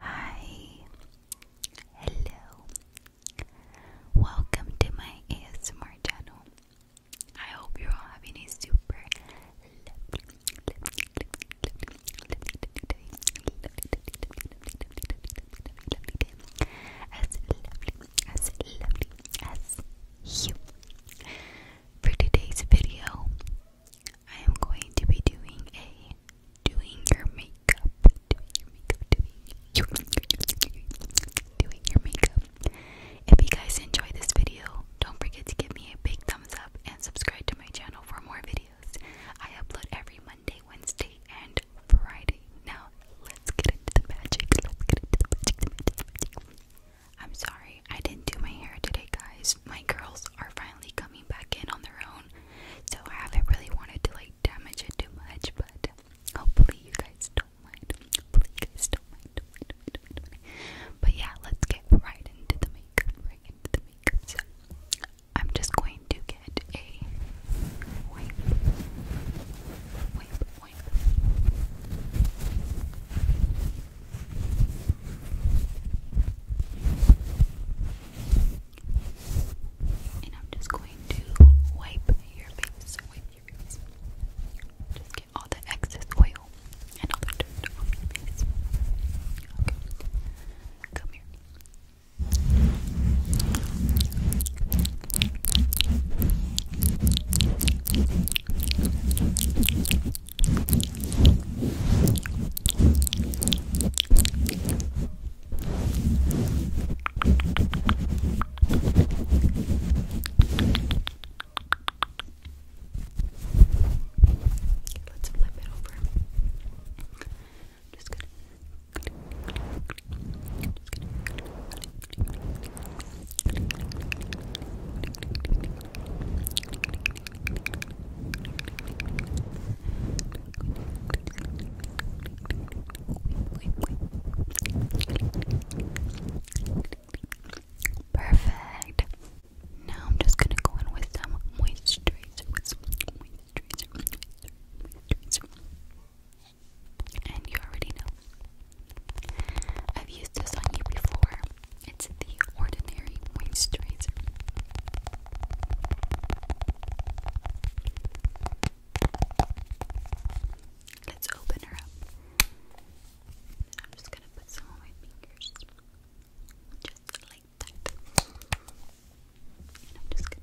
Hi, hello, welcome to my ASMR channel. I hope you're all having a super As lovely, as lovely as you. For today's video, I am going to be doing a doing your makeup, doing your makeup, doing your makeup. If you guys enjoy this video, don't forget to give me a big thumbs up and subscribe to my channel for more videos. I upload every Monday, Wednesday, and Friday. Now let's get into the magic. Let's get into the magic. the magic. I'm sorry I didn't do my hair today, guys. My girls are finally coming back in on their own. So I haven't really wanted to like damage it too much, but hopefully you guys don't mind. Hopefully don't mind. But yeah, let's get right into the makeup. Right into the makeup. So I'm just going to get a wipe, wipe, wipe. And I'm just going to wipe your face, Just get all the excess oil and all the dirt off your face. Come here. Let's flip it over. Just gonna just gonna Perfect. Now I'm just gonna go in with some moisturizer, And you already know. I've used this on you before. It's the Ordinary Moisturizer. Let's open her up. I'm just gonna put some on my fingers. Just like that. I'm just gonna.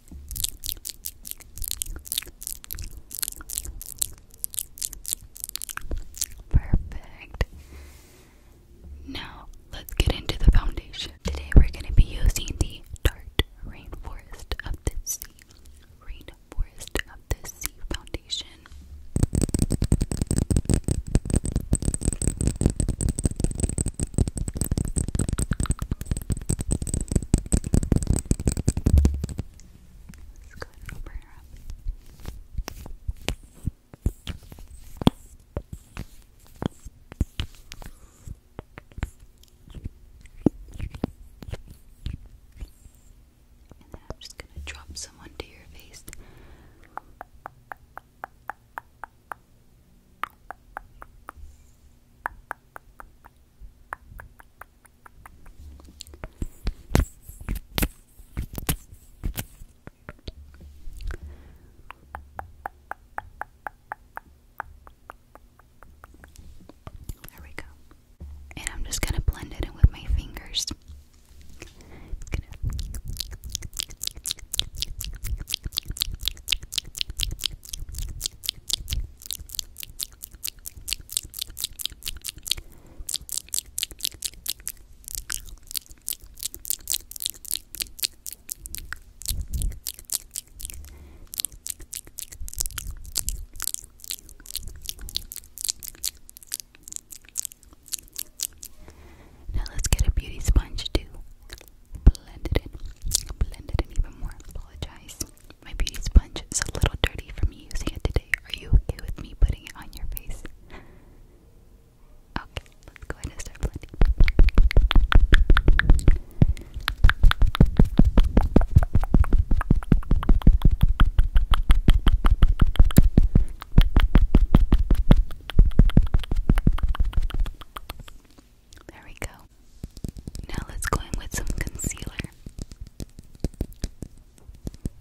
Perfect. Now, let's get into the foundation. Today, we're going to be using the Tarte Rainforest of the Sea. Rainforest of the Sea foundation. Let's go ahead and open her up. And then I'm just going to drop someone to your face. There we go. And I'm just gonna blend it in with my fingers. Now let's get a beauty sponge too blend it in, it even more. Apologize. My beauty sponge is a little dirty from me using it today. Are you okay with me putting it on your face? Okay, let's go ahead and start blending. There we go. Now let's go in with some concealer.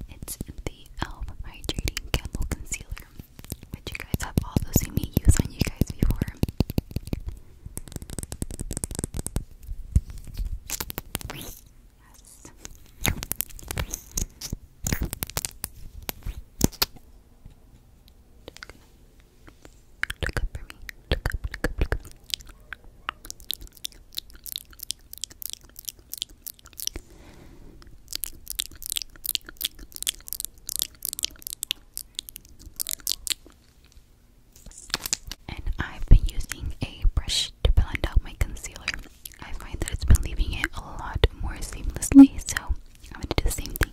It's the Elf Hydrating Candle Concealer, which you guys have also seen me use on you guys before. Yes. And I've been using a brush to blend out my concealer. I find that it's been leaving it a lot more seamlessly, so I'm gonna do the same thing.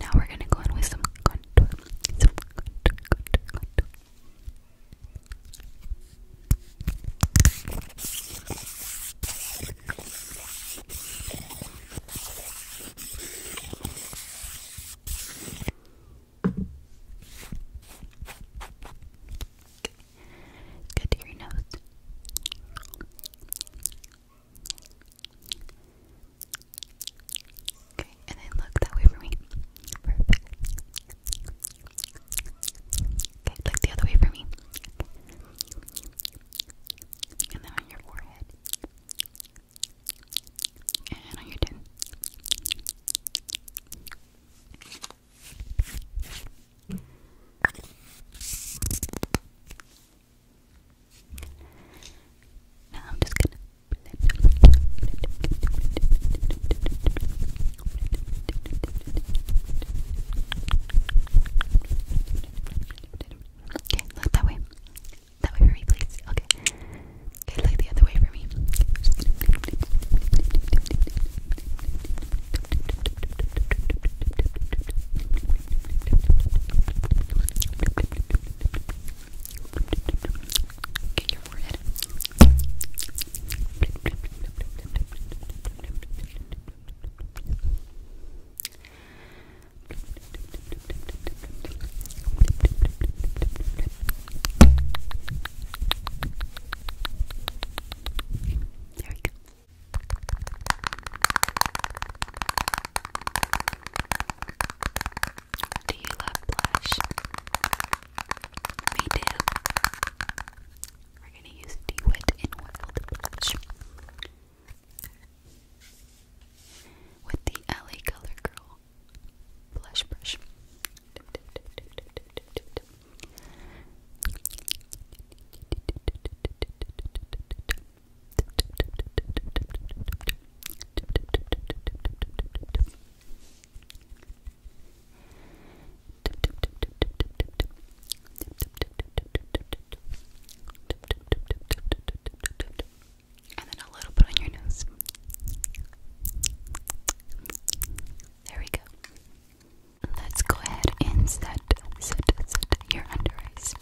Now we're going to go in with some contour. Good to your nose. Okay, and then look that way for me. Perfect. Okay, look the other way for me. And then on your forehead. And on your chin. Now I'm just gonna Okay, look that way. That way for me, please. Okay. Okay, look the other way for me. Get your forehead. Okay, there we go. Do you love blush? Me too. We're gonna use DeWitt in Wild Bleach. With the LA Color Girl blush brush. And then a little bit on your nose. There we go. Let's go ahead and set, set, set your under eyes.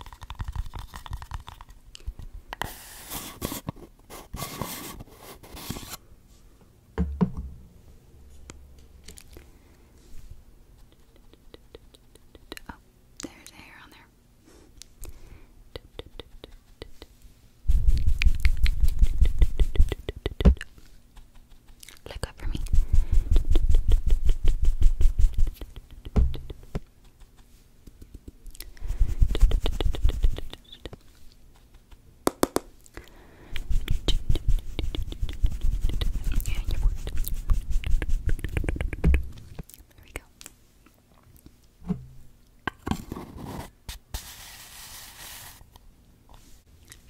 Oh, there's a hair on there. Look up for me. Yeah, you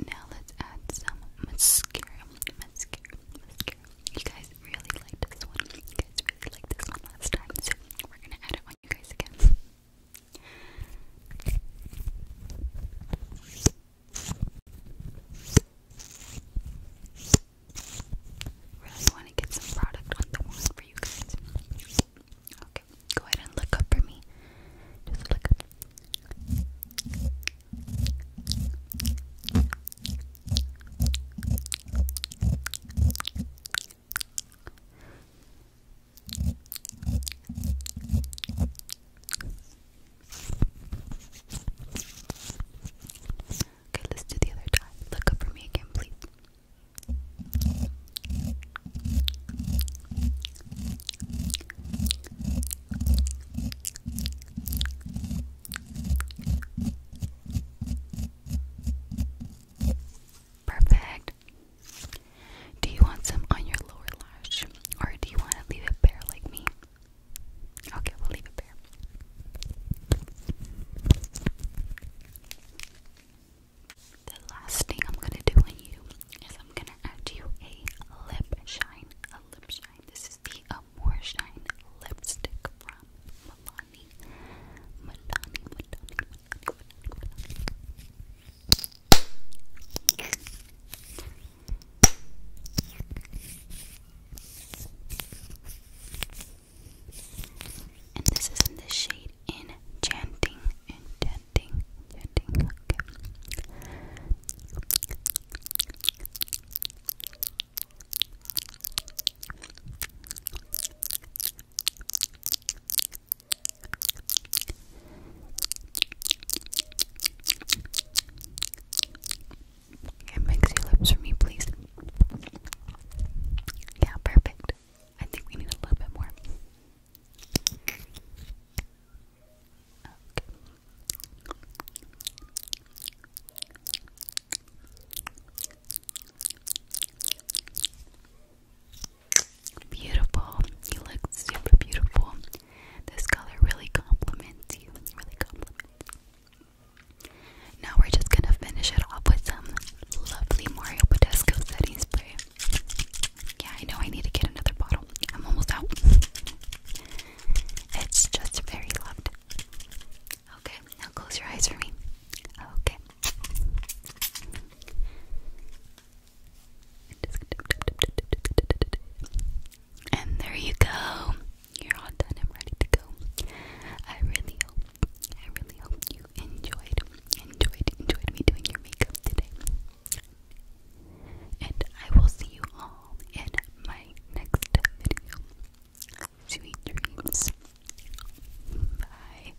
Now let's add some mascara. Mascara, You guys really like this one. You guys really like this one last time, so we're gonna add it on you guys again. Really want to get some product on the wand for you guys. Okay, go ahead and look up for me. Just look up. Okay, let's do the other time. Look up for me again, please. Perfect. Do you want some on your lower lash? Or do you want to leave it bare like me? Okay, we'll leave it bare. The last thing I'm gonna do on you is I'm gonna add you a lip shine. A lip shine. This is the Amore Shine lipstick from Milani, Milani, Milani. And this is in the shade Enchanting, Enchanting, Enchanting. Okay. Can mix your lips for me, please. Yeah, perfect. I think we need a little bit more. Beautiful. You look super beautiful. This color really compliments you. Really compliments Now we're just gonna finish it off with some lovely Mario Badescu setting spray. Yeah, I know I need to get another bottle. I'm almost out. It's just very loved. Okay, now close your eyes for me. Okay. And there you go. You're all done and ready to go. I really hope, I really hope you enjoyed, enjoyed, enjoyed me doing your makeup today. And I will see you all in my next video. Sweet dreams. Bye.